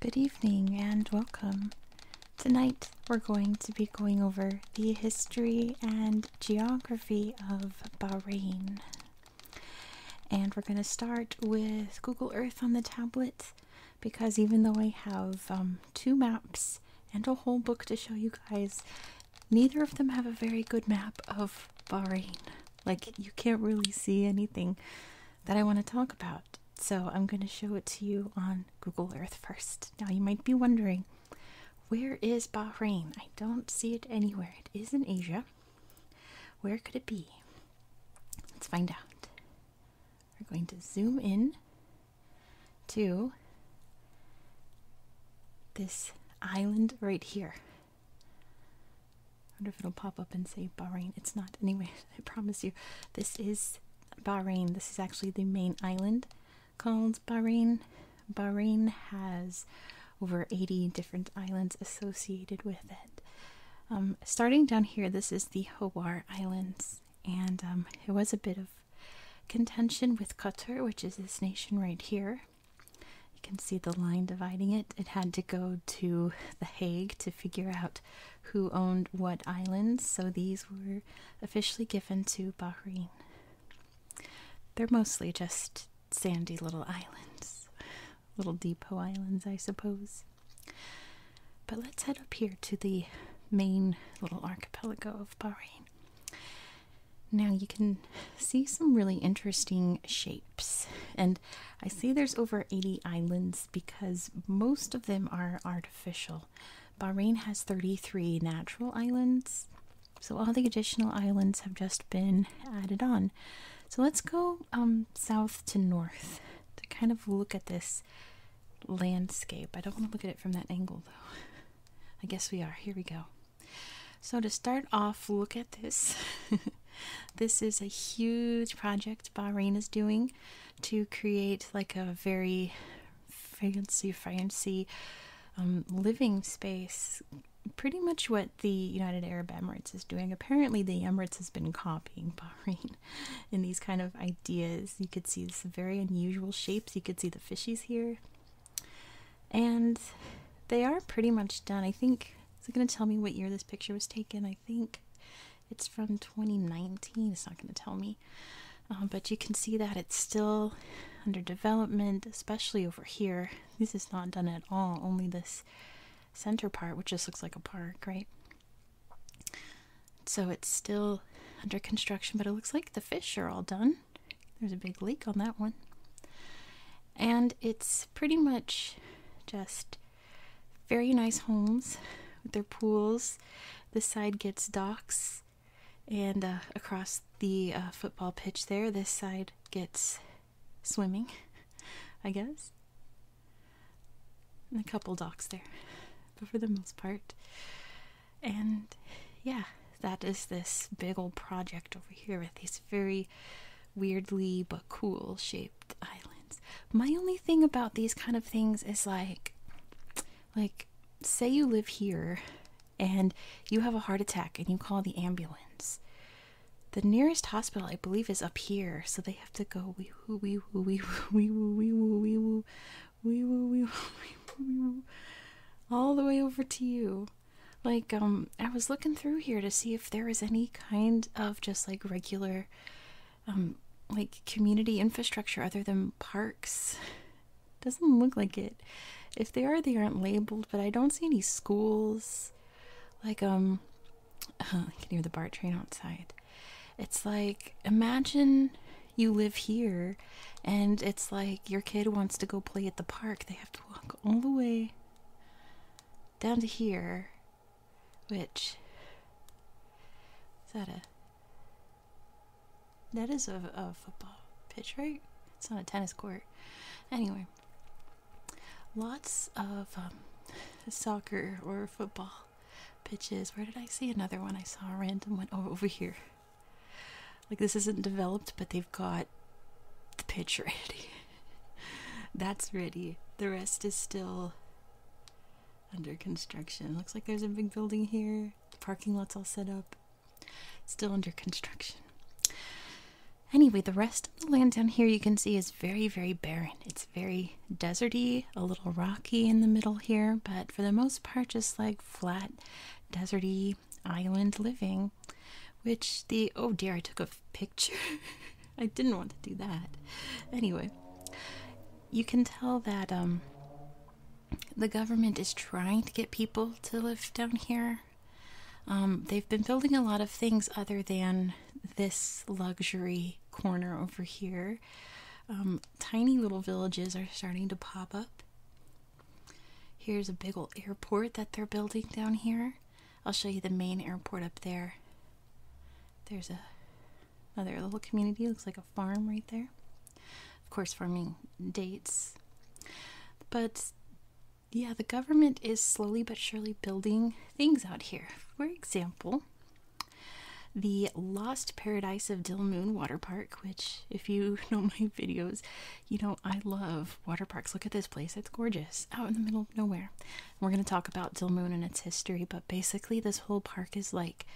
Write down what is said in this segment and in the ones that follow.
Good evening and welcome. Tonight we're going to be going over the history and geography of Bahrain. And we're going to start with Google Earth on the tablet because even though I have um, two maps and a whole book to show you guys, neither of them have a very good map of Bahrain. Like, you can't really see anything that I want to talk about. So, I'm going to show it to you on Google Earth first. Now, you might be wondering, where is Bahrain? I don't see it anywhere. It is in Asia. Where could it be? Let's find out. We're going to zoom in to this island right here. I wonder if it'll pop up and say Bahrain. It's not. Anyway, I promise you, this is Bahrain. This is actually the main island called Bahrain. Bahrain has over 80 different islands associated with it. Um, starting down here, this is the Hawar Islands, and um, it was a bit of contention with Qatar, which is this nation right here. You can see the line dividing it. It had to go to The Hague to figure out who owned what islands, so these were officially given to Bahrain. They're mostly just sandy little islands, little depot islands, I suppose. But let's head up here to the main little archipelago of Bahrain. Now you can see some really interesting shapes, and I say there's over 80 islands because most of them are artificial. Bahrain has 33 natural islands, so all the additional islands have just been added on. So let's go um, south to north to kind of look at this landscape. I don't want to look at it from that angle though. I guess we are. Here we go. So to start off, look at this. this is a huge project Bahrain is doing to create like a very fancy, fancy um, living space. Pretty much what the United Arab Emirates is doing. Apparently, the Emirates has been copying Bahrain in these kind of ideas. You could see some very unusual shapes. You could see the fishies here. And they are pretty much done. I think, is it going to tell me what year this picture was taken? I think it's from 2019. It's not going to tell me. Um, but you can see that it's still under development, especially over here. This is not done at all, only this center part, which just looks like a park, right? So it's still under construction, but it looks like the fish are all done. There's a big leak on that one. And it's pretty much just very nice homes with their pools. This side gets docks, and uh, across the uh, football pitch there, this side gets swimming, I guess. And a couple docks there. But for the most part, and yeah, that is this big old project over here with these very weirdly but cool shaped islands. My only thing about these kind of things is like, like, say you live here and you have a heart attack and you call the ambulance. The nearest hospital, I believe, is up here, so they have to go wee woo wee woo wee woo wee woo wee woo wee woo wee woo wee woo all the way over to you. Like, um, I was looking through here to see if there is any kind of just like regular, um, like community infrastructure other than parks. Doesn't look like it. If they are, they aren't labeled, but I don't see any schools. Like, um, I can hear the BART train outside. It's like, imagine you live here and it's like your kid wants to go play at the park have to walk all the way down to here, which is that a that is a, football pitch, right? It's not a tennis court. Anyway, lots of um, soccer or football pitches. Where did I see another one? I saw a random one over here like this isn't developed but they've got the pitch ready that's ready the rest is still under construction looks like there's a big building here parking lots all set up still under construction anyway the rest of the land down here you can see is very very barren it's very deserty a little rocky in the middle here but for the most part just like flat deserty island living which the oh dear, I took a picture. I didn't want to do that. Anyway, you can tell that um, the government is trying to get people to live down here. Um, they've been building a lot of things other than this luxury corner over here. Um, tiny little villages are starting to pop up. Here's a big old airport that they're building down here. I'll show you the main airport up there. There's a, another little community, looks like a farm right there. Of course, farming dates. But yeah, the government is slowly but surely building things out here. For example, the Lost Paradise of Dill Moon Water Park, which, if you know my videos, you know I love water parks. Look at this place, it's gorgeous out in the middle of nowhere. We're going to talk about Dilmun and its history, but basically, this whole park is like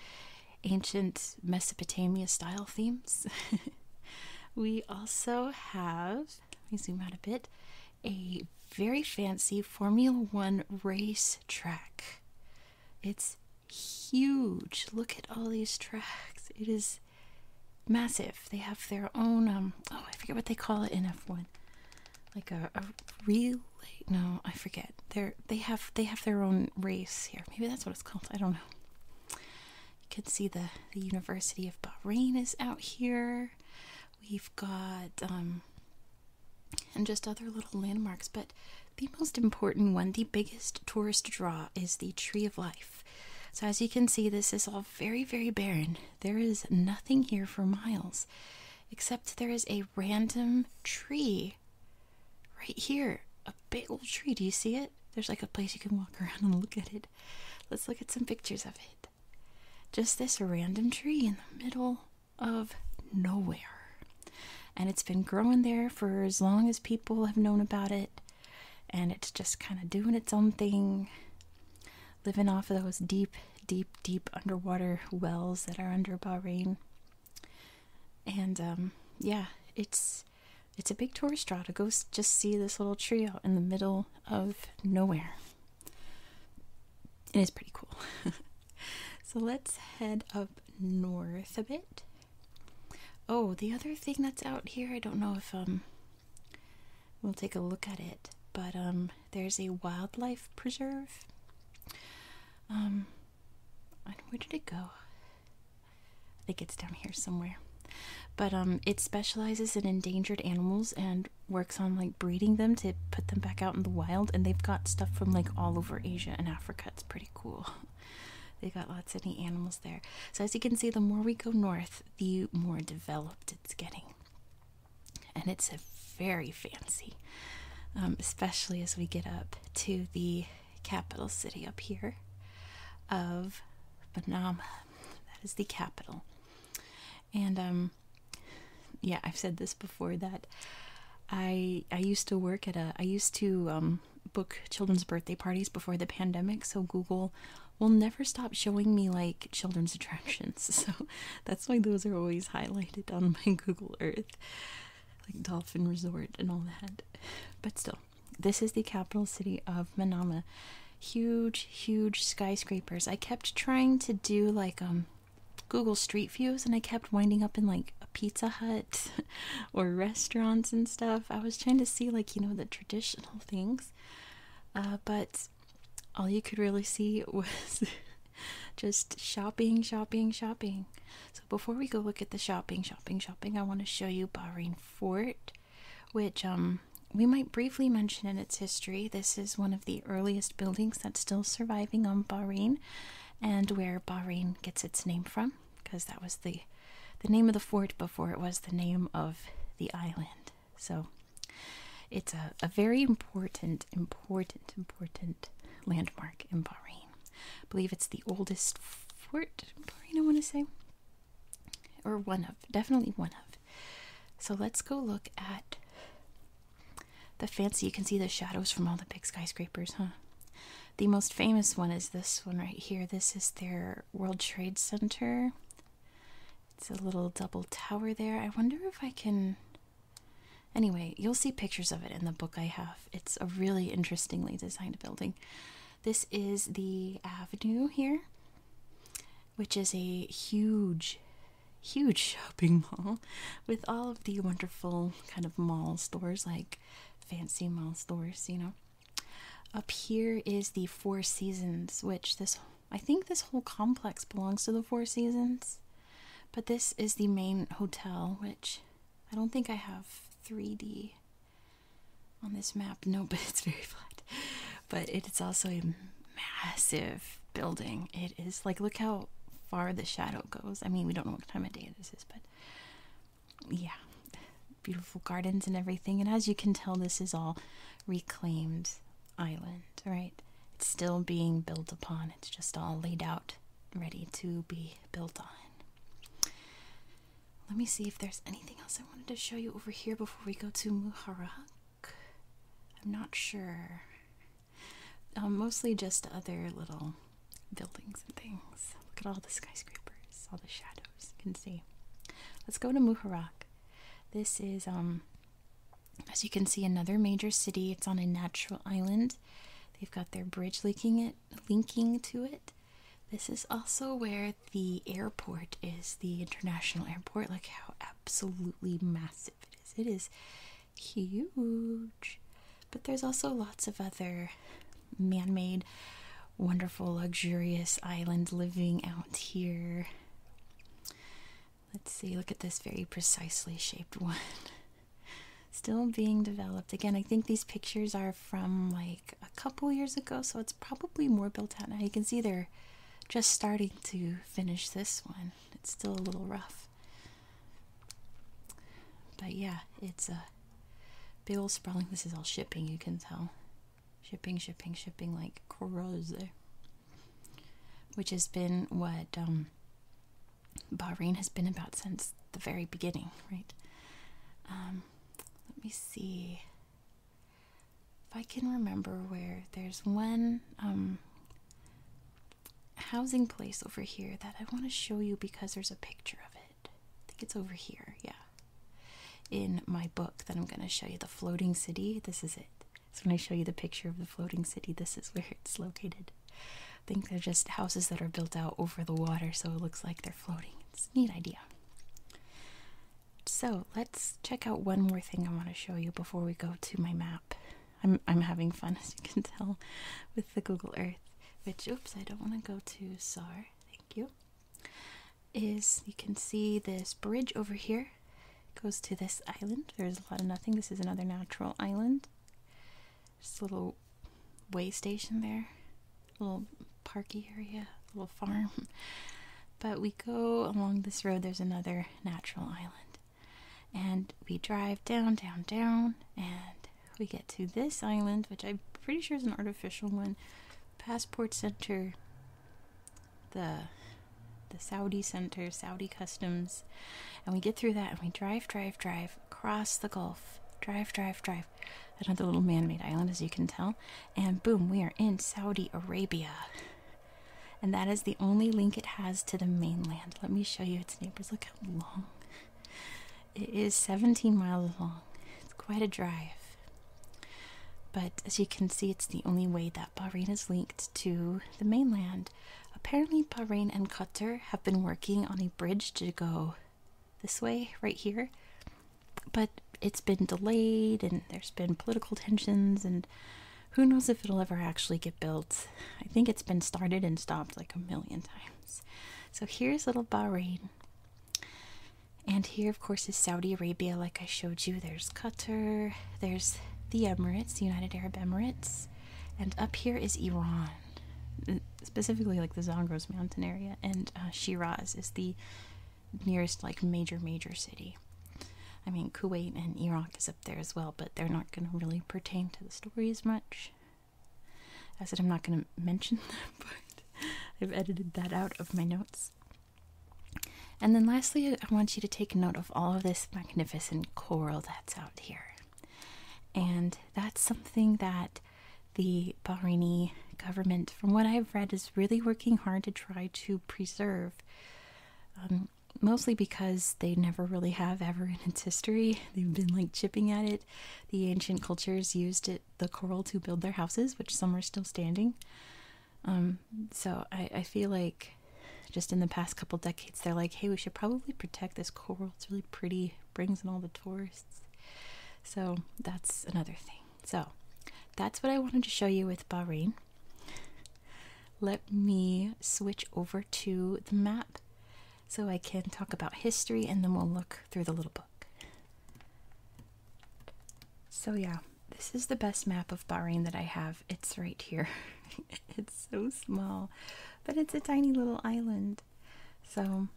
ancient Mesopotamia style themes. we also have, let me zoom out a bit, a very fancy Formula One race track. It's huge. Look at all these tracks. It is massive. They have their own, um, oh, I forget what they call it in F1. Like a, a no, I forget. They're, they have they have their own race here. Maybe that's what it's called. I don't know. You can see the, the University of Bahrain is out here. We've got, um, and just other little landmarks, but the most important one, the biggest tourist draw, is the Tree of Life. So, as you can see, this is all very, very barren. There is nothing here for miles, except there is a random tree right here. A big old tree. Do you see it? There's like a place you can walk around and look at it. Let's look at some pictures of it. Just this random tree in the middle of nowhere. And it's been growing there for as long as people have known about it and it's just kind of doing its own thing, living off of those deep, deep, deep underwater wells that are under Bahrain. And um, yeah, it's it's a big tourist draw to go just see this little tree out in the middle of nowhere. It is pretty cool. so let's head up north a bit. Oh, the other thing that's out here, I don't know if um We'll take a look at it. But um, there's a wildlife preserve. Um, where did it go? I think it's down here somewhere. But um, it specializes in endangered animals and works on like breeding them to put them back out in the wild. And they've got stuff from like all over Asia and Africa. It's pretty cool. They got lots of neat animals there. So as you can see, the more we go north, the more developed it's getting. And it's very fancy, um, especially as we get up to the capital city up here of Panama. That is the capital. And um, yeah, I've said this before that I I used to work at a I used to um, book children's birthday parties before the pandemic. So Google will never stop showing me like children's attractions. So that's why those are always highlighted on my Google Earth, like Dolphin Resort and all that. But still, this is the capital city of Manama. Huge, huge skyscrapers. I kept trying to do like um Google Street Views and I kept winding up in like a Pizza Hut or restaurants and stuff. I was trying to see like, you know, the traditional things. Uh, but all you could really see was just shopping, shopping, shopping. So before we go look at the shopping, shopping, shopping, I want to show you Bahrain Fort, which um, we might briefly mention in its history. This is one of the earliest buildings that's still surviving on Bahrain, and where Bahrain gets its name from, because that was the the name of the fort before it was the name of the island. So it's a, a very important, important, important landmark in Bahrain. I believe it's the oldest fort in Bahrain, I want to say. Or one of, definitely one of. So let's go look at the fancy. You can see the shadows from all the big skyscrapers, huh? The most famous one is this one right here. This is their World Trade Center. It's a little double tower there. I wonder if I can. Anyway, you'll see pictures of it in the book I have. It's a really interestingly designed building. This is the avenue here, which is a huge, huge shopping mall with all of the wonderful kind of mall stores, like fancy mall stores, you know. Up here is the Four Seasons, which this I think this whole complex belongs to the Four Seasons, but this is the main hotel, which I don't think I have 3D on this map. No, but it's very flat. But it is also a massive building. It is like, look how far the shadow goes. I mean, we don't know what time of day this is, but yeah, beautiful gardens and everything. And as you can tell, this is all reclaimed island, right? It's still being built upon, it's just all laid out, ready to be built on. Let me see if there's anything else I wanted to show you over here before we go to Muharrak. I'm not sure. Um, mostly just other little buildings and things. Look at all the skyscrapers, all the shadows you can see. Let's go to Muharrak. This is um as you can see, another major city. It's on a natural island. They've got their bridge linking it, linking to it. This is also where the airport is, the international airport. Look how absolutely massive it is. It is huge. But there's also lots of other man-made, wonderful, luxurious island living out here. Let's see, look at this very precisely shaped one. Still being developed. Again, I think these pictures are from like a couple years ago, so it's probably more built out now. You can see they're just starting to finish this one. It's still a little rough. But yeah, it's a big old sprawling. This is all shipping, you can tell. Shipping, shipping, shipping like crazy. Which has been what um, Bahrain has been about since the very beginning, right? Um, let me see if I can remember where there's one um, housing place over here that I want to show you because there's a picture of it. I think it's over here, yeah. In my book that I'm going to show you, The Floating City, this is it. So when I show you the picture of the floating city, this is where it's located. I think they're just houses that are built out over the water, so it looks like they're floating. It's neat idea. So let's check out one more thing I want to show you before we go to my map. I'm I'm having fun as you can tell with the Google Earth, which oops I don't want to go to SAR. Thank you. Is you can see this bridge over here goes to this island. There's a lot of nothing. This is another natural island. Just a little way station there, little parky area, little farm. But we go along this road, there's another natural island. And we drive down, down, down, and we get to this island, which I'm pretty sure is an artificial one. Passport Center the the Saudi center, Saudi customs, and we get through that and we drive, drive, drive across the Gulf, drive, drive, drive, another little man-made island, as you can tell, and boom, we are in Saudi Arabia. And that is the only link it has to the mainland. Let me show you its neighbors. Look how long it is 17 miles long. It's quite a drive. But as you can see, it's the only way that Bahrain is linked to the mainland. Apparently, Bahrain and Qatar have been working on a bridge to go this way, right here, but it's been delayed and there's been political tensions, and who knows if it'll ever actually get built. I think it's been started and stopped like a million times. So, here's little Bahrain. And here, of course, is Saudi Arabia, like I showed you. There's Qatar, there's the Emirates, United Arab Emirates, and up here is Iran, specifically like the Zagros mountain area, and uh, Shiraz is the nearest like major major city. I mean, Kuwait and Iraq is up there as well, but they're not going to really pertain to the story as much. I said I'm not going to mention them, but I've edited that out of my notes. And then lastly, I want you to take note of all of this magnificent coral that's out here. And that's something that the Bahraini government, from what I've read, is really working hard to try to preserve. Um, mostly because they never really have ever in its history. They've been like chipping at it. The ancient cultures used it, the coral to build their houses, which some are still standing. Um, so I feel like just in the past couple decades, they're like, hey, we should probably protect this coral. It's really pretty, brings in all the tourists. So that's another thing. So that's what I wanted to show you with Bahrain. Let me switch over to the map so I can talk about history and then we'll look through the little book. So, yeah, this is the best map of Bahrain that I have. It's right here. it's so small, but it's a tiny little island. So,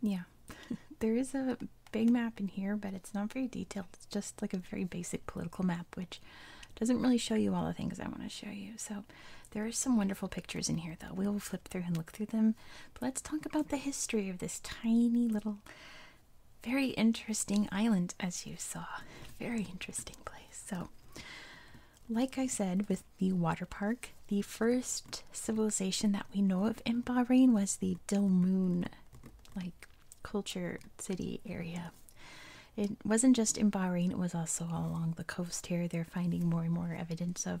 yeah, there is a big map in here, but it's not very detailed. It's just like a very basic political map, which doesn't really show you all the things I want to show you. So, there are some wonderful pictures in here, though. We will flip through and look through them. But let's talk about the history of this tiny little very interesting island, as you saw. Very interesting place. So, like I said, with the water park, the first civilization that we know of in Bahrain was the Dilmun, like culture city area. It wasn't just in Bahrain, it was also along the coast here. They're finding more and more evidence of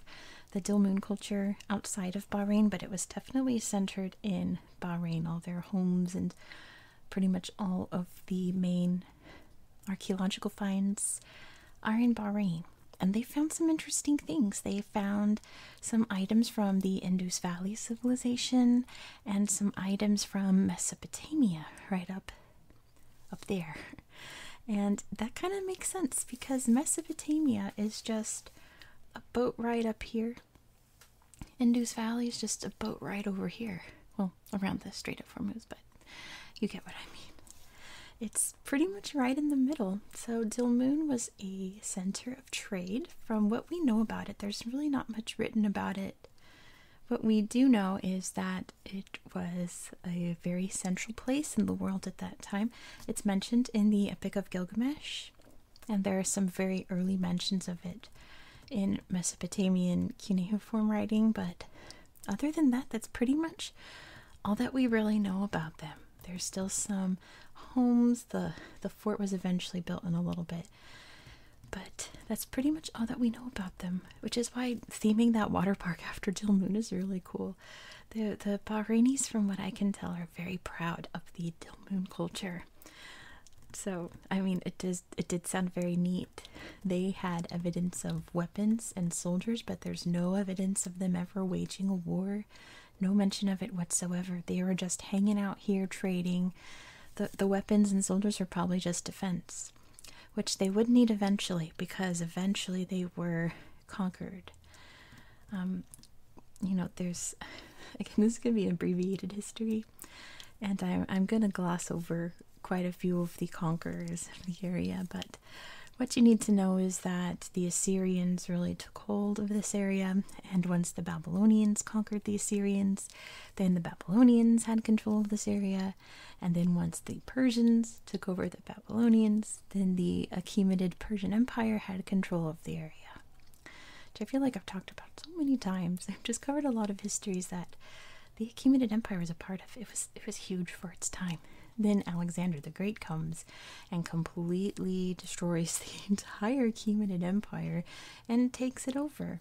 the Dilmun culture outside of Bahrain, but it was definitely centered in Bahrain. All their homes and pretty much all of the main archaeological finds are in Bahrain. And they found some interesting things. They found some items from the Indus Valley civilization and some items from Mesopotamia right up up there. And that kind of makes sense because Mesopotamia is just a boat ride up here Indus Valley is just a boat ride over here. Well, around the Strait of Hormuz, but you get what I mean. It's pretty much right in the middle. So Dilmun was a center of trade. From what we know about it, there's really not much written about it. What we do know is that it was a very central place in the world at that time. It's mentioned in the Epic of Gilgamesh, and there are some very early mentions of it in Mesopotamian cuneiform writing, but other than that, that's pretty much all that we really know about them. There's still some homes. The the fort was eventually built in a little bit. But that's pretty much all that we know about them, which is why theming that water park after Jill Moon is really cool. The the Bahrainis, from what I can tell, are very proud of the Moon culture so, I mean, it does it did sound very neat. They had evidence of weapons and soldiers, but there's no evidence of them ever waging a war. No mention of it whatsoever. They were just hanging out here trading. The the weapons and soldiers were probably just defense, which they would need eventually because eventually they were conquered. Um you know, there's again this could gonna be abbreviated history, and I'm, going to gloss over quite a few of the conquerors of the area, but what you need to know is that the Assyrians really took hold of this area, and once the Babylonians conquered the Assyrians, then the Babylonians had control of this area, and then once the Persians took over the Babylonians, then the Achaemenid Persian Empire had control of the area. Do I feel like I've talked about so many times. I've just covered a lot of histories that the Achaemenid Empire was a part of. It was it was huge for its time. Then Alexander the Great comes and completely destroys the entire Achaemenid Empire and takes it over.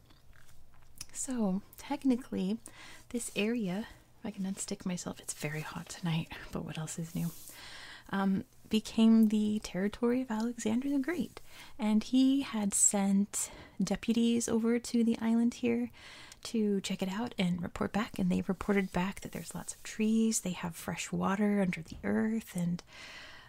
So technically, this area, if I can unstick myself, it's very hot tonight, but what else is new? Um, became the territory of Alexander the Great. And he had sent deputies over to the island here to check it out and report back. And they reported back that there's lots of trees, they have fresh water under the earth, and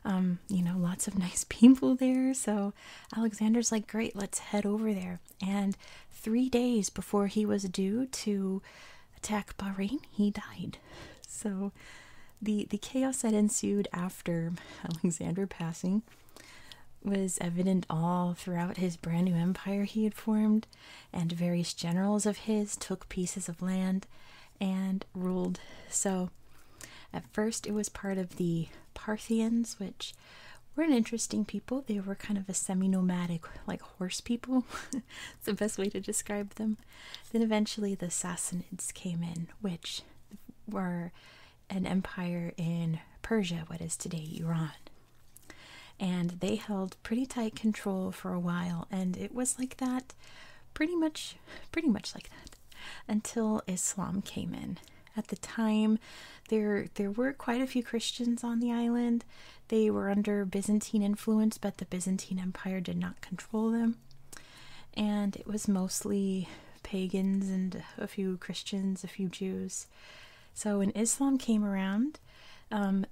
um, you know, lots of nice people there. So Alexander's like, great, let's head over there. And three days before he was due to attack Bahrain, he died. So the the chaos that ensued after Alexander passing was evident all throughout his brand new empire he had formed, and various generals of his took pieces of land and ruled. So, at first, it was part of the Parthians, which were an interesting people. They were kind of a semi nomadic, like horse people. it's the best way to describe them. Then, eventually, the Sassanids came in, which were an empire in Persia, what is today Iran. And they held pretty tight control for a while, and it was like that pretty much pretty much like that until Islam came in. At the time there there were quite a few Christians on the island. They were under Byzantine influence, but the Byzantine Empire did not control them. And it was mostly pagans and a few Christians, a few Jews. So when Islam came around, um,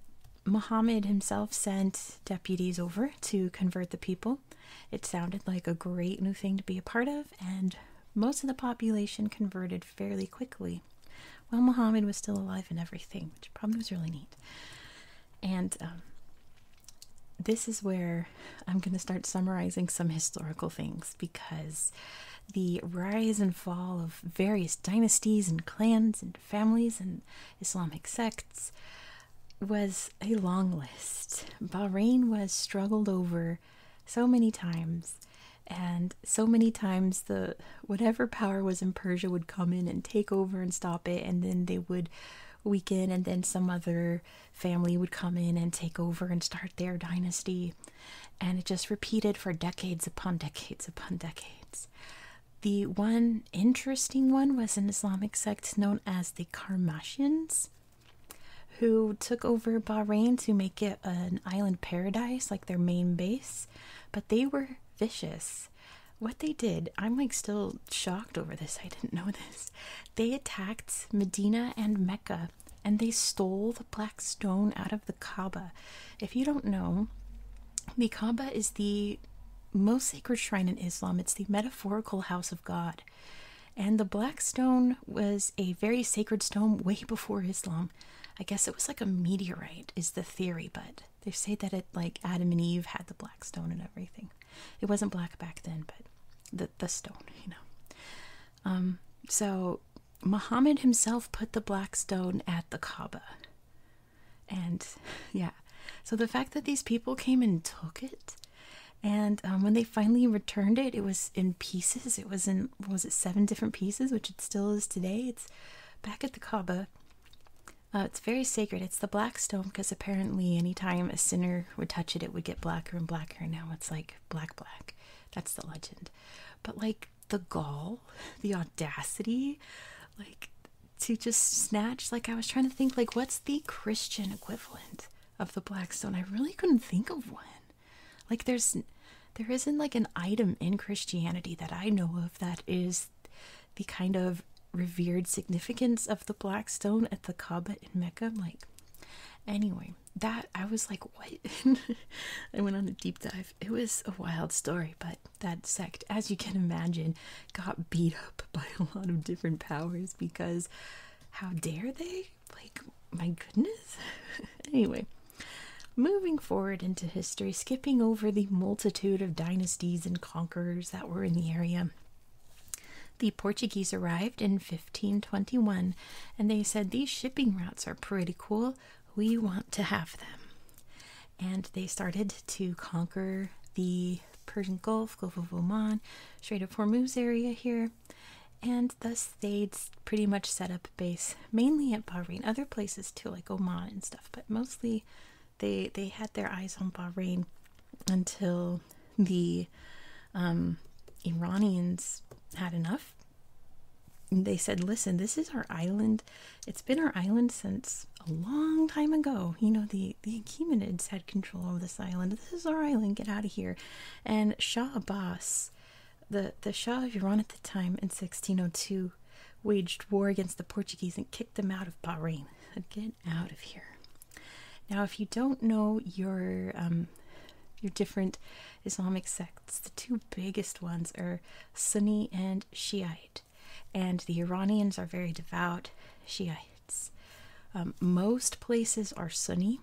Muhammad himself sent deputies over to convert the people. It sounded like a great new thing to be a part of, and most of the population converted fairly quickly. While Muhammad was still alive and everything, which probably was really neat. And um, this is where I'm going to start summarizing some historical things because the rise and fall of various dynasties and clans and families and Islamic sects was a long list. Bahrain was struggled over so many times and so many times the whatever power was in Persia would come in and take over and stop it and then they would weaken and then some other family would come in and take over and start their dynasty. And it just repeated for decades upon decades upon decades. The one interesting one was an Islamic sect known as the Karmashians, who took over Bahrain to make it an island paradise, like their main base. But they were vicious. What they did, I'm like still shocked over this. I didn't know this. They attacked Medina and Mecca and they stole the black stone out of the Kaaba. If you don't know, the Kaaba is the most sacred shrine in Islam. It's the metaphorical house of God. And the black stone was a very sacred stone way before Islam. I guess it was like a meteorite, is the theory, but they say that it, like Adam and Eve, had the black stone and everything. It wasn't black back then, but the, the stone, you know. Um, so Mohammed himself put the black stone at the Kaaba. And yeah, so the fact that these people came and took it, and um, when they finally returned it, it was in pieces. It was in, was it seven different pieces, which it still is today. It's back at the Kaaba. Uh, it's very sacred. It's the black stone because apparently, anytime a sinner would touch it, it would get blacker and blacker. And now it's like black, black. That's the legend. But like the gall, the audacity, like to just snatch like I was trying to think like what's the Christian equivalent of the Blackstone? I really couldn't think of one. Like there's there isn't like an item in Christianity that I know of that is the kind of revered significance of the Black Stone at the Kaaba in Mecca. like, anyway, that I was like, what? I went on a deep dive. It was a wild story, but that sect, as you can imagine, got beat up by a lot of different powers because how dare they? Like, my goodness. anyway, moving forward into history, skipping over the multitude of dynasties and conquerors that were in the area. The Portuguese arrived in 15 1521 and they said these shipping routes are pretty cool. We want to have them. And they started to conquer the Persian Gulf, Gulf of Oman, Strait of Hormuz area here, and thus they'd pretty much set up base mainly at Bahrain, other places too, like Oman and stuff, but mostly they they had their eyes on Bahrain until the um, Iranians had enough. they said, listen, this is our island. It's been our island since a long time ago. You know, the, the Achaemenids had control over this island. This is our island. Get out of here. And Shah Abbas, the, the Shah of Iran at the time in 1602, waged war against the Portuguese and kicked them out of Bahrain. get out of here. Now, if you don't know your um, your different Islamic sects. The two biggest ones are Sunni and Shiite, and the Iranians are very devout Shiites. Um, most places are Sunni,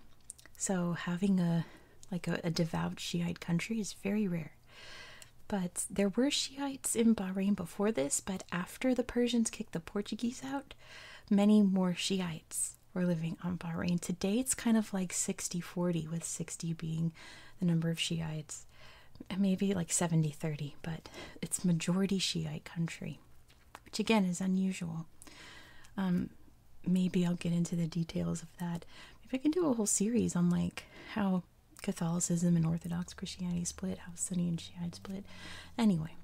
so having a like a devout Shiite country is very rare. But there were Shiites in Bahrain before this, but after the Persians kicked the Portuguese out, many more Shiites we're living on Bahrain. Today it's kind of like 60 40, with 60 being the number of Shiites, maybe like 70 30, but it's majority Shiite country, which again is unusual. Um, maybe I'll get into the details of that. If I can do a whole series on like how Catholicism and Orthodox Christianity split, how Sunni and Shiite split. Anyway,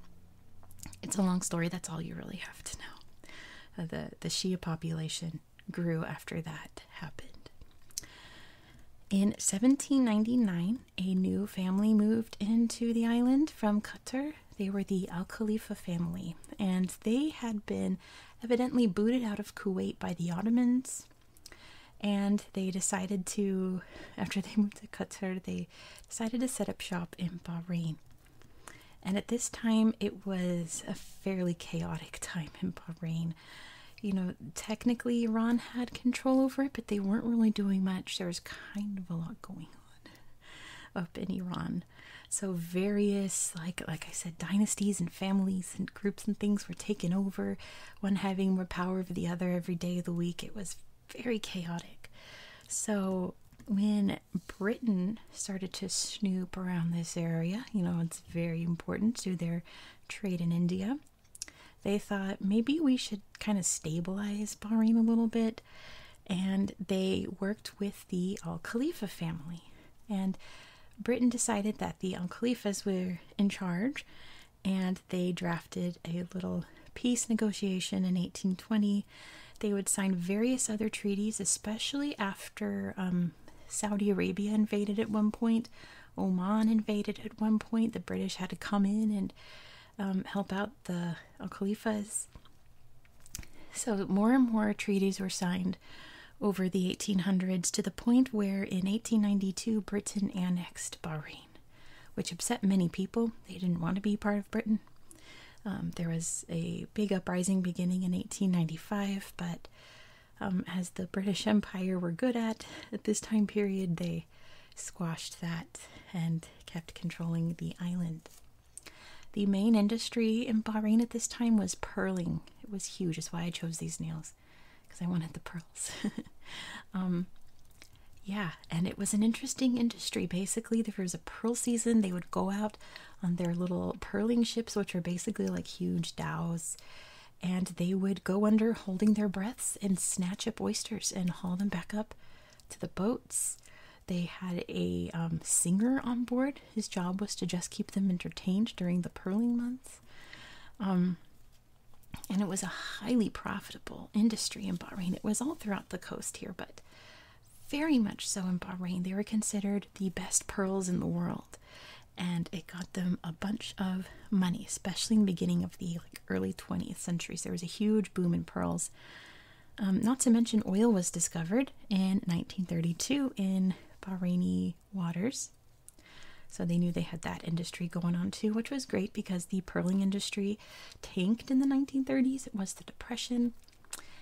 it's a long story. That's all you really have to know. Uh, the the Shia population grew after that happened. In 1799, a new family moved into the island from Qatar. They were the Al Khalifa family, and they had been evidently booted out of Kuwait by the Ottomans. And they decided to, after they moved to Qatar, they decided to set up shop in Bahrain. And at this time, it was a fairly chaotic time in Bahrain. You know, technically, Iran had control over it, but they weren't really doing much. There was kind of a lot going on up in Iran. So various, like like I said, dynasties and families and groups and things were taken over, one having more power over the other every day of the week. It was very chaotic. So when Britain started to snoop around this area, you know, it's very important to their trade in India, they thought maybe we should kind of stabilize Bahrain a little bit. And they worked with the Al Khalifa family. And Britain decided that the Al Khalifas were in charge and they drafted a little peace negotiation in 1820. They would sign various other treaties, especially after um, Saudi Arabia invaded at one point, Oman invaded at one point. The British had to come in and um, help out the Al Khalifas. So, more and more treaties were signed over the 1800s to the point where in 1892 Britain annexed Bahrain, which upset many people. They didn't want to be part of Britain. Um, there was a big uprising beginning in 1895, but um, as the British Empire were good at at this time period, they squashed that and kept controlling the island. The main industry in Bahrain at this time was pearling. It was huge. That's why I chose these nails, because I wanted the pearls. Um, yeah, and it was an interesting industry. Basically, there was a pearl season. They would go out on their little purling ships, which were basically like huge dows. And they would go under holding their breaths and snatch up oysters and haul them back up to the boats. They had a um, singer on board. His job was to just keep them entertained during the purling months. Um, and it was a highly profitable industry in Bahrain. It was all throughout the coast here, but very much so in Bahrain. They were considered the best pearls in the world and it got them a bunch of money, especially in the beginning of the early 20th centuries. There was a huge boom in pearls. Um, not to mention, oil was discovered in 1932 in Bahraini waters. So they knew they had that industry going on too, which was great because the pearling industry tanked in the 1930s. It was the Depression,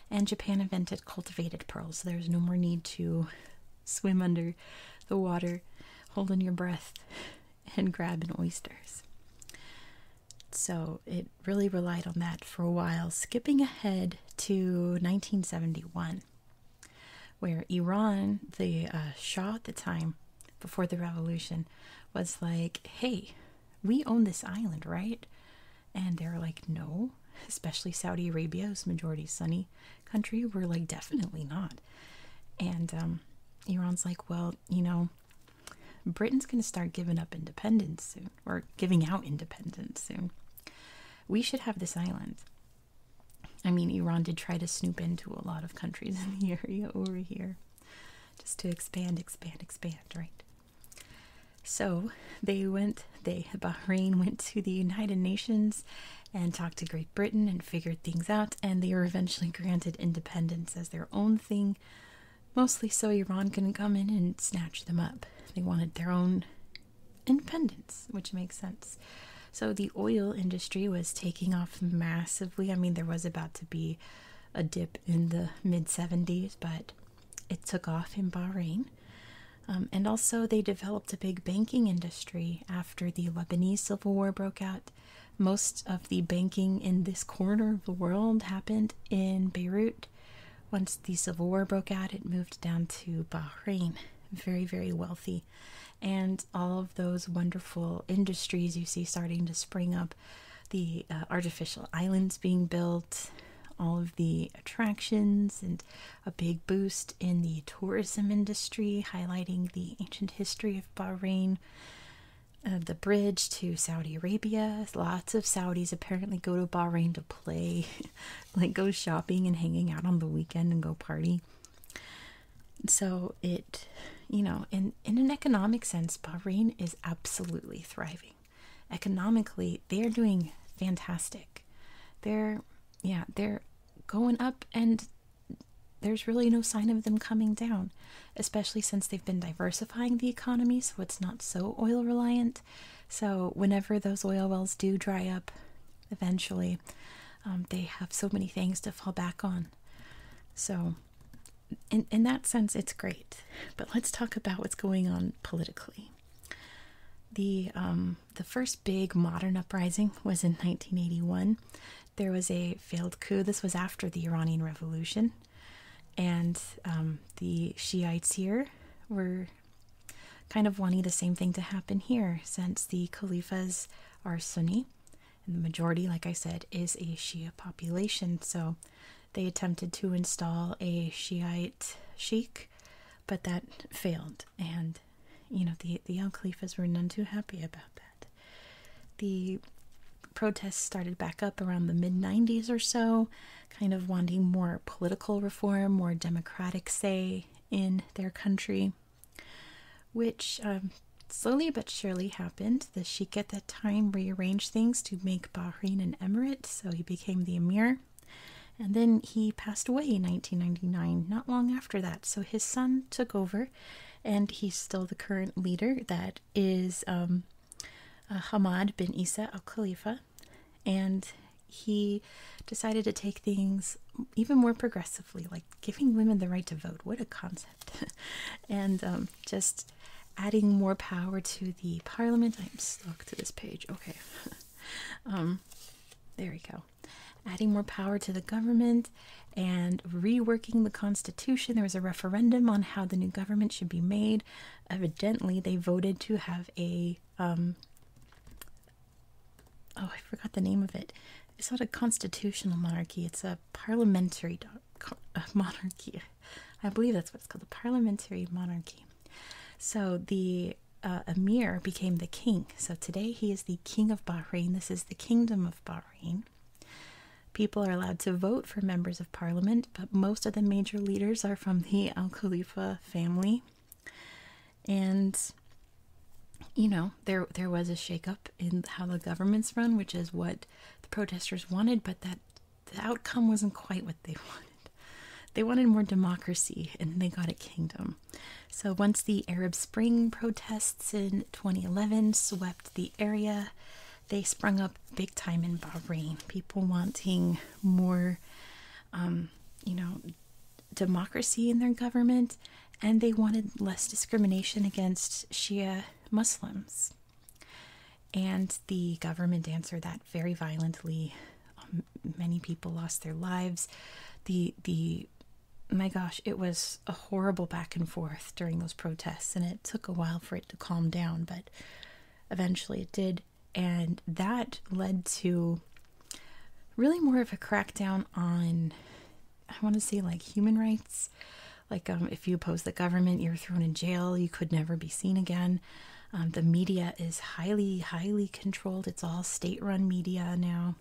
and Japan invented cultivated pearls. So there was no more need to swim under the water, holding your breath, and grabbing oysters. So it really relied on that for a while, skipping ahead to 1971, where Iran, the uh, Shah at the time, before the revolution, was like, hey, we own this island, right? And they are like, no, especially Saudi Arabia's majority Sunni country, we're like, definitely not. And um, Iran's like, well, you know, Britain's going to start giving up independence soon, or giving out independence soon. We should have this island. I mean, Iran did try to snoop into a lot of countries in the area over here just to expand, expand, expand, right? So they went they Bahrain went to the United Nations and talked to Great Britain and figured things out, and they were eventually granted independence as their own thing, mostly so Iran couldn't come in and snatch them up. They wanted their own independence, which makes sense. So the oil industry was taking off massively. I mean, there was about to be a dip in the mid 70s, but it took off in Bahrain. Um, and also, they developed a big banking industry after the Lebanese Civil War broke out. Most of the banking in this corner of the world happened in Beirut. Once the Civil War broke out, it moved down to Bahrain. Very, very wealthy. And all of those wonderful industries you see starting to spring up the uh, artificial islands being built, all of the attractions and a big boost in the tourism industry, highlighting the ancient history of Bahrain. Uh, the bridge to Saudi Arabia. Lots of Saudis apparently go to Bahrain to play, like go shopping and hanging out on the weekend and go party. So it, you know, in in an economic sense, Bahrain is absolutely thriving. Economically, they're doing fantastic. They're yeah, they're going up and there's really no sign of them coming down, especially since they've been diversifying the economy so it's not so oil reliant. So, whenever those oil wells do dry up eventually, um, they have so many things to fall back on. So, in, in that sense, it's great. But let's talk about what's going on politically. The um, the first big modern uprising was in 1981. There was a failed coup. This was after the Iranian Revolution, and um, the Shiites here were kind of wanting the same thing to happen here, since the Khaliphas are Sunni, and the majority, like I said, is a Shia population. So they attempted to install a Shiite sheikh, but that failed, and you know the the young Khalifas were none too happy about that. The protests started back up around the mid 90s or so, kind of wanting more political reform, more democratic say in their country, which um, slowly but surely happened. The sheikh at that time rearranged things to make Bahrain an emirate, so he became the emir. And then he passed away in 1999, not long after that. So his son took over, and he's still the current leader. That is um, uh, Hamad bin Isa al Khalifa. And he decided to take things even more progressively, like giving women the right to vote. What a concept! and um, just adding more power to the parliament. I'm stuck to this page. Okay. Um, there we go adding more power to the government and reworking the Constitution. There was a referendum on how the new government should be made. Evidently, they voted to have a um, oh, I forgot the name of it. It's not a constitutional monarchy. It's a parliamentary monarchy. I believe that's what it's called, a parliamentary monarchy. So the emir uh, became the king. So today he is the king of Bahrain. This is the kingdom of Bahrain. People are allowed to vote for members of parliament, but most of the major leaders are from the Al Khalifa family. And you know, there there was a shakeup in how the government's run, which is what the protesters wanted, but that the outcome wasn't quite what they wanted. They wanted more democracy, and they got a kingdom. So, once the Arab Spring protests in 2011 swept the area, they sprung up big time in Bahrain. People wanting more, um, you know, democracy in their government, and they wanted less discrimination against Shia Muslims. And the government answered that very violently. Um, many people lost their lives. The the my gosh, it was a horrible back and forth during those protests, and it took a while for it to calm down, but eventually it did. And that led to really more of a crackdown on, I want to say, like human rights. Like, um, if you oppose the government, you're thrown in jail, you could never be seen again. Um, the media is highly, highly controlled. It's all state run media now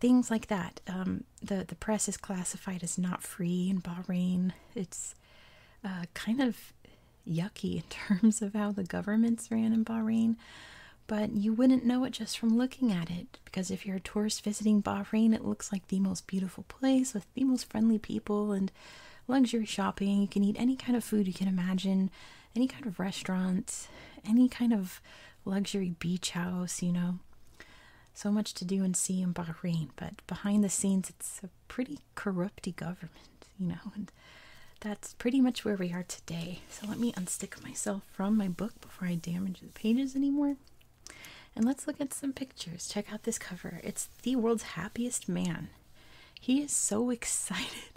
things like that. Um, the the press is classified as not free in Bahrain. It's uh, kind of yucky in terms of how the governments ran in Bahrain, but you wouldn't know it just from looking at it. Because if you're a tourist visiting Bahrain, it looks like the most beautiful place with the most friendly people and luxury shopping. You can eat any kind of food you can imagine, any kind of restaurant, any kind of luxury beach house, you know. So much to do and see in Bahrain, but behind the scenes, it's a pretty corrupty government, you know, and that's pretty much where we are today. So let me unstick myself from my book before I damage the pages anymore. And let's look at some pictures. Check out this cover. It's the world's happiest man. He is so excited.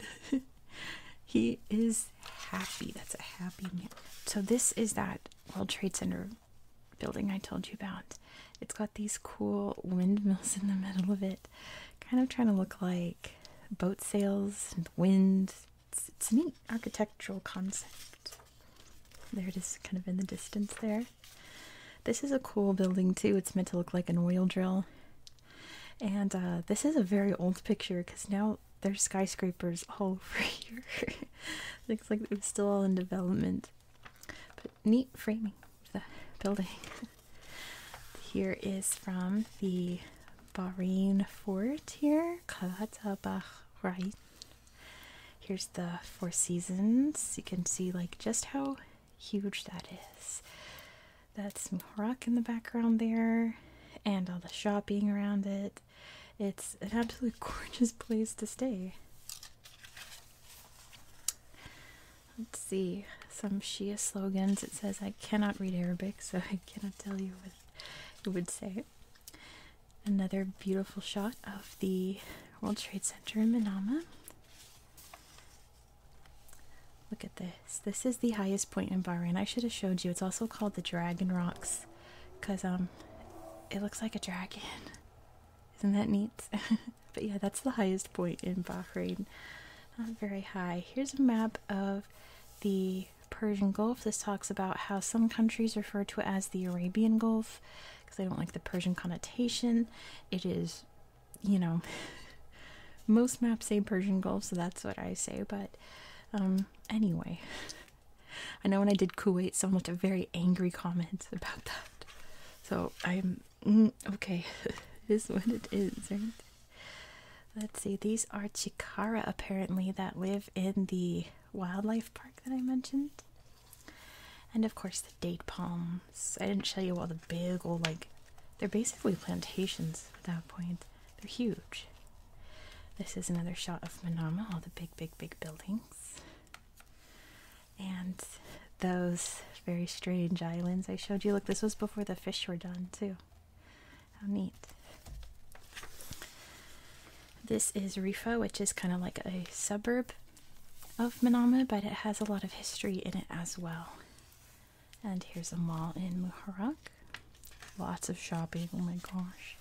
he is happy. That's a happy man. So this is that World Trade Center building I told you about. It's got these cool windmills in the middle of it, kind of trying to look like boat sails and the wind. It's, a neat architectural concept. There it is, kind of in the distance there. This is a cool building too. It's meant to look like an oil drill. And uh, this is a very old picture because now there's skyscrapers all over here. Looks like they're still all in development. But neat framing the building. here is from the Bahrain fort here, Qalat Bahrain. Here's the Four Seasons. You can see like just how huge that is. That's some rock in the background there, and all the shopping around it it's an absolutely gorgeous place to stay. Let's see some Shia slogans. It says, I cannot read Arabic, so I cannot tell you what it would say. Another beautiful shot of the World Trade Center in Manama. Look at this. This is the highest point in Bahrain. I should have showed you. It's also called the Dragon Rocks because um it looks like a dragon. Isn't that neat? but yeah, that's the highest point in Bahrain. Not um, very high. Here's a map of the Persian Gulf. This talks about how some countries refer to it as the Arabian Gulf because I don't like the Persian connotation. It is, you know, most maps say Persian Gulf, so that's what I say, but um, anyway, I know when I did Kuwait, so much a very angry comment about that. So I'm mm, okay. Is what it is, right? Let's see. These are Chikara apparently that live in the wildlife park that I mentioned. And of course the date palms. I didn't show you all the big old like they're basically plantations at that point. They're huge. This is another shot of Manama, all the big, big, big buildings. And those very strange islands I showed you. Look, this was before the fish were done, too. How neat. This is Rifa, which is kind of like a suburb of Manama, but it has a lot of history in it as well. And here's a mall in Muharraq. Lots of shopping. Oh my gosh.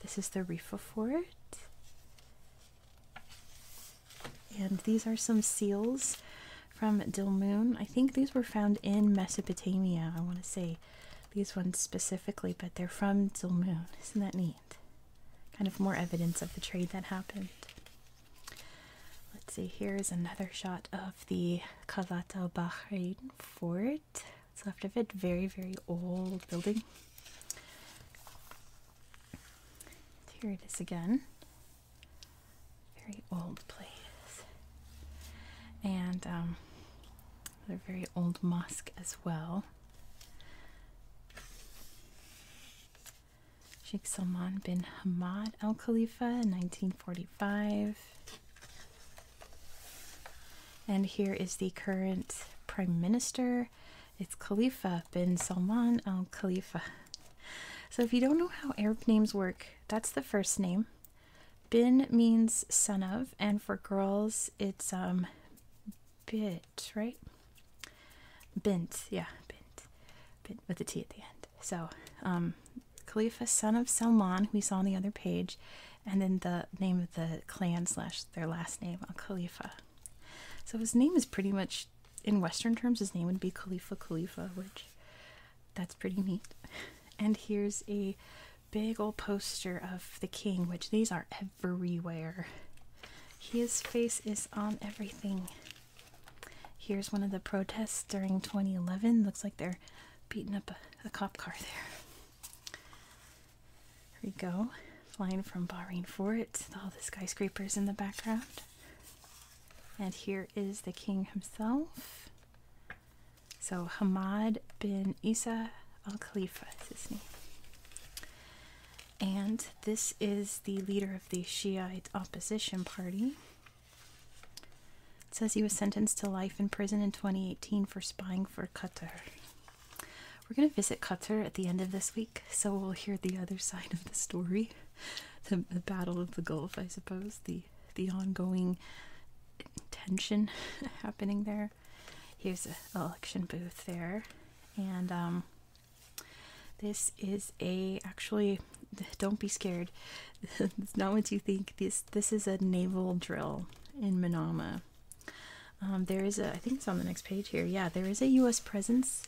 This is the reefer for And these are some seals from Dilmun. I think these were found in Mesopotamia, I want to say. These ones specifically, but they're from Dilmun. Isn't that neat? Kind of more evidence of the trade that happened. Let's see, here is another shot of the Qalat al Bahrain fort. What's left of it. Very, very old building. Here it is again. Very old place. And um, another very old mosque as well. Sheikh Salman bin Hamad Al Khalifa, 1945. And here is the current prime minister. It's Khalifa bin Salman al Khalifa. So, if you don't know how Arab names work, that's the first name. Bin means son of, and for girls, it's um, bit, right? Bint, yeah, bint, bint with a T at the end. So, um, Khalifa, son of Salman, who we saw on the other page, and then the name of the clan slash their last name, Al uh, Khalifa. So his name is pretty much, in Western terms, his name would be Khalifa Khalifa, which that's pretty neat. And here's a big old poster of the king, which these are everywhere. His face is on everything. Here's one of the protests during 2011. Looks like they're beating up a, cop car there. Here we go, flying from Bahrain for it. all the skyscrapers in the background. And here is the king himself. So Hamad bin Isa al Khalifa his name. And this is the leader of the Shiite opposition party. says he was sentenced to life in prison in 2018 for spying for Qatar. We're going to visit Qatar at the end of this week, so we'll hear the other side of the story. The, Battle of the Gulf, I suppose, the, the ongoing tension happening there. Here's an election booth there. And um, this is a, actually, don't be scared. it's not what you think. This, this is a naval drill in Manama. Um, there is a, I think it's on the next page here. Yeah, there is a U.S. presence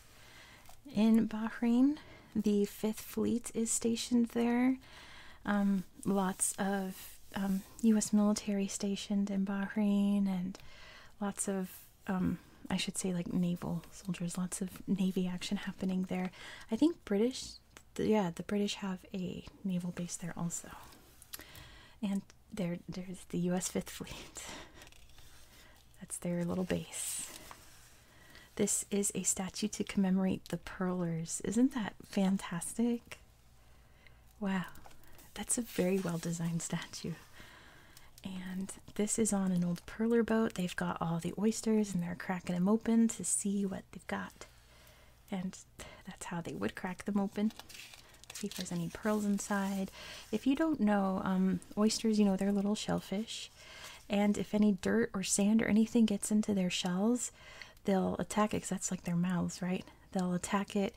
in Bahrain. The Fifth Fleet is stationed there. Um, lots of U.S. Um, military stationed in Bahrain, and lots of, I should say, like naval soldiers. Lots of navy action happening there. I think British, yeah, the British have a naval base there also. And there there's the US 5th Fleet. That's their little base. This is a statue to commemorate the Pearlers. Isn't that fantastic? Wow, that's a very well designed statue. And this is on an old pearler boat. They've got all the oysters and they're cracking them open to see what they've got. And that's how they would crack them open. See if there's any pearls inside. If you don't know, um, oysters, you know, they're little shellfish, and if any dirt or sand or anything gets into their shells, they'll attack it. Cause that's like their mouths, right? They'll attack it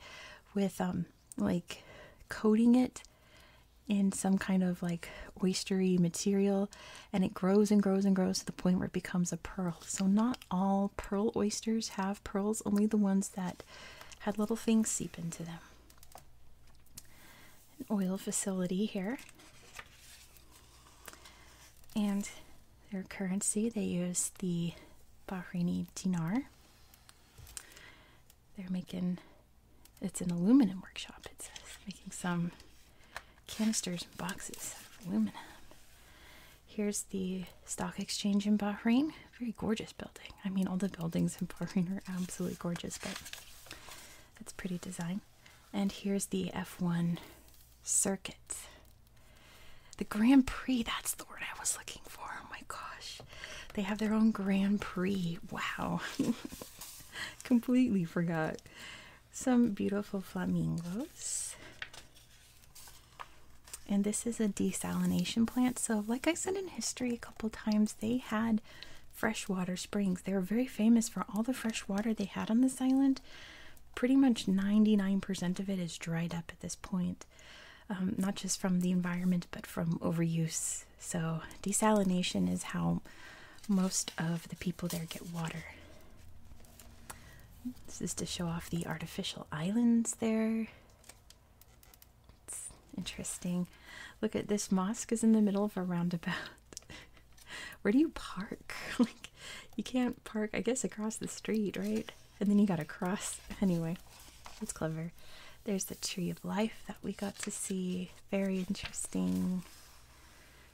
with um, like coating it in some kind of like oystery material, and it grows and grows and grows to the point where it becomes a pearl. So not all pearl oysters have pearls, only the ones that had little things seep into them. An oil facility here. And their currency, they use the Bahraini dinar. They're making, it's an aluminum workshop, it says, making some canisters and boxes of aluminum. Here's the stock exchange in Bahrain. Very gorgeous building. I mean, all the buildings in Bahrain are absolutely gorgeous, but it's pretty design. And here's the F1 circuit. The Grand Prix, that's the word I was looking for. Oh my gosh. They have their own Grand Prix. Wow. Completely forgot. Some beautiful flamingos. And this is a desalination plant. So, like I said in history a couple times, they had freshwater springs. They were very famous for all the fresh water they had on this island. Pretty much 99% of it is dried up at this point, um, not just from the environment, but from overuse. So, desalination is how most of the people there get water. This is to show off the artificial islands there. It's interesting. Look at this mosque is in the middle of a roundabout. Where do you park? like you can't park, I guess, across the street, right? And then you gotta cross. Anyway, it's clever. There's the tree of life that we got to see. Very interesting.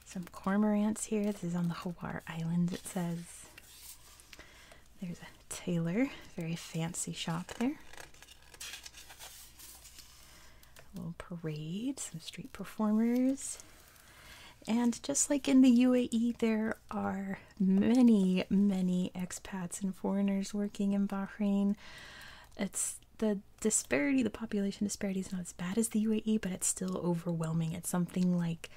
Some cormorants here. This is on the Hawar Islands, it says. There's a tailor, very fancy shop there. A little parade, some street performers. And just like in the UAE, there are many, many expats and foreigners working in Bahrain. It's the disparity, the population disparity is not as bad as the UAE, but it's still overwhelming. It's something like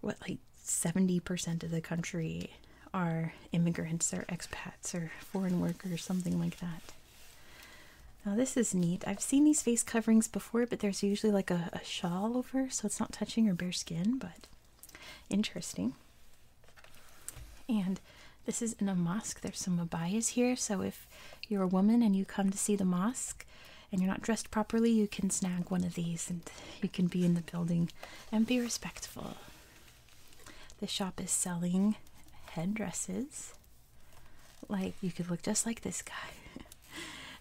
what like 70% of the country are immigrants or expats or foreign workers, something like that. Now, this is neat. I've seen these face coverings before, but there's usually like a, a shawl over, so it's not touching your bare skin, but interesting. And this is in a mosque. There's some abayas here, so if you're a woman and you come to see the mosque and you're not dressed properly, you can snag one of these and you can be in the building and be respectful. The shop is selling headdresses. Like, you could look just like this guy.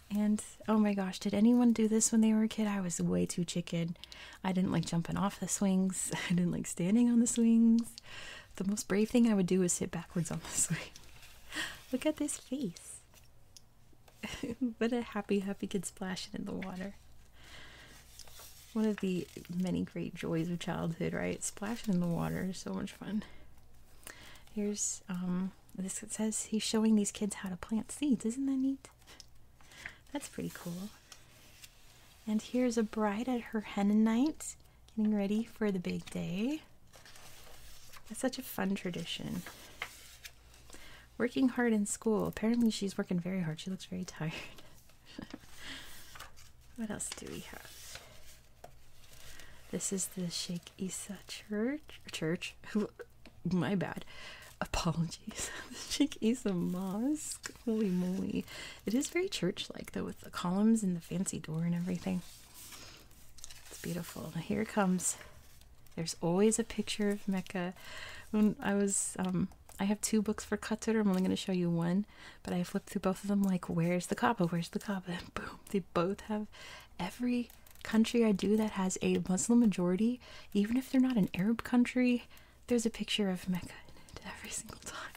and oh my gosh, did anyone do this when they were a kid? I was way too chicken. I didn't like jumping off the swings, I didn't like standing on the swings. The most brave thing I would do is sit backwards on the swing. look at this face. but a happy, happy kid splashing in the water. One of the many great joys of childhood, right? Splashing in the water is so much fun. Here's um, this says he's showing these kids how to plant seeds. Isn't that neat? That's pretty cool. And here's a bride at her henna night, getting ready for the big day. That's such a fun tradition. Working hard in school. Apparently, she's working very hard. She looks very tired. what else do we have? This is the Sheikh Isa Church. Church? My bad. Apologies. Sheikh Isa Mosque. Holy moly. It is very church like, though, with the columns and the fancy door and everything. It's beautiful. Now, here comes. There's always a picture of Mecca. When I was um, I have two books for Katsura. I'm only going to show you one, but I flipped through both of them like, where's the Kaaba? Where's the Kaaba? boom, they both have every country I do that has a Muslim majority, even if they're not an Arab country, there's a picture of Mecca in it every single time.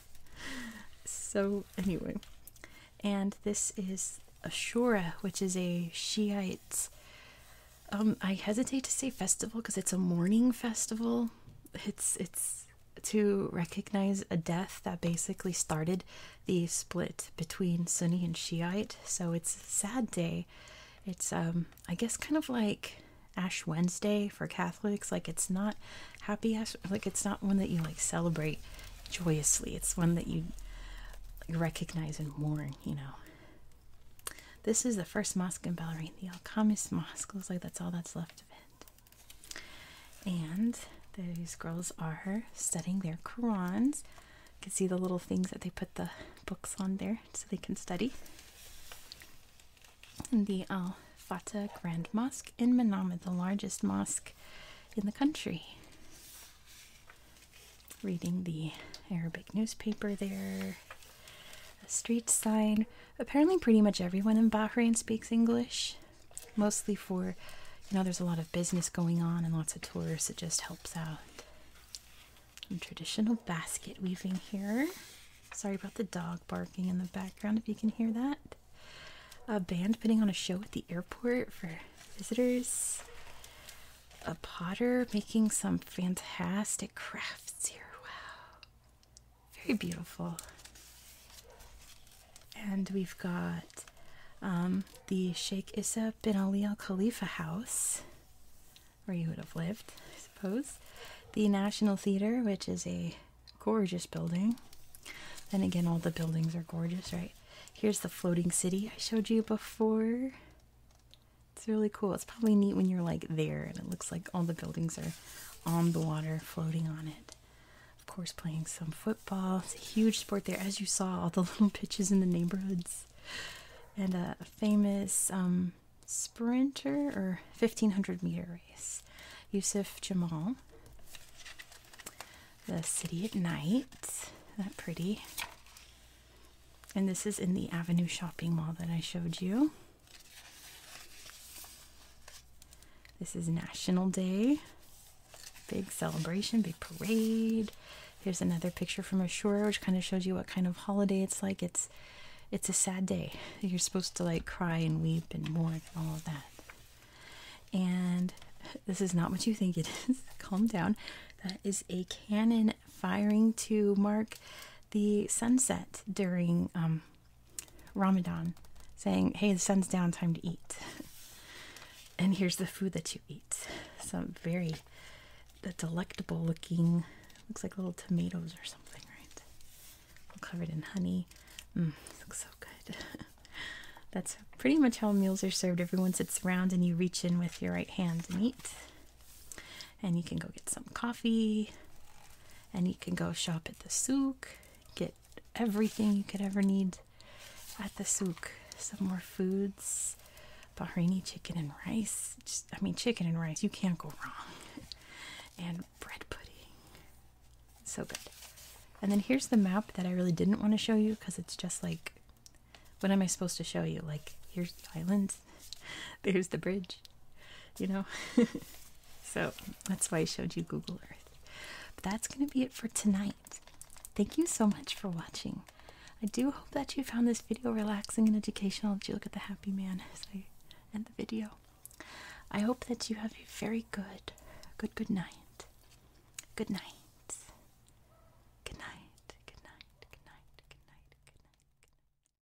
So, anyway, and this is Ashura, which is a Shiite um, I hesitate to say festival because it's a mourning festival. It's it's to recognize a death that basically started the split between Sunni and Shiite. So it's a sad day. It's um I guess kind of like Ash Wednesday for Catholics. Like it's not happy Ash like it's not one that you like celebrate joyously. It's one that you recognize and mourn, you know. This is the first mosque in Bahrain, the Al Kamis Mosque. Looks like that's all that's left of it. And these girls are studying their Korans. You can see the little things that they put the books on there so they can study. the Al Fatah Grand Mosque in Manama, the largest mosque in the country. Reading the Arabic newspaper there. A street sign. Apparently, pretty much everyone in Bahrain speaks English, mostly for, you know, there's a lot of business going on and lots of tourists. It just helps out. Some traditional basket weaving here. Sorry about the dog barking in the background if you can hear that. A band putting on a show at the airport for visitors. A potter making some fantastic craft. Wow. Very beautiful. And we've got um, the Sheikh Issa bin Ali al Khalifa house, where you would have lived, I suppose. The National Theater, which is a gorgeous building. Then again, all the buildings are gorgeous, right? Here's the floating city I showed you before. It's really cool. It's probably neat when you're like there and it looks like all the buildings are on the water, floating on it. Of course, playing some football. It's a huge sport there, as you saw, all the little pitches in the neighborhoods. And a famous um, sprinter or 1500 meter race, Yusuf Jamal. The city at night. That pretty. And this is in the Avenue shopping mall that I showed you. This is National Day. Big celebration, big parade. Here's another picture from Ashura, which kind of shows you what kind of holiday it's like. It's it's a sad day. You're supposed to like cry and weep and mourn all of that. And this is not what you think it is. Calm down. That is a cannon firing to mark the sunset during um, Ramadan, saying, Hey, the sun's down, time to eat. and here's the food that you eat. Some very delectable looking, looks like little tomatoes or something, right? covered in honey. Mm, looks so good. That's pretty much how meals are served. Everyone sits around and you reach in with your right hand and eat and you can go get some coffee and you can go shop at the souk get everything you could ever need at the souk some more foods bahraini chicken and rice Just, i mean chicken and rice you can't go wrong and bread pudding so good and then here's the map that i really didn't want to show you because it's just like what am i supposed to show you like here's the islands there's the bridge you know? so that's why I showed you Google Earth. But that's going to be it for tonight. Thank you so much for watching. I do hope that you found this video relaxing and educational. Did you look at the happy man as I end the video? I hope that you have a very good, good, good night. Good night. Good night. Good night. Good night. Good night. Good night. Good night.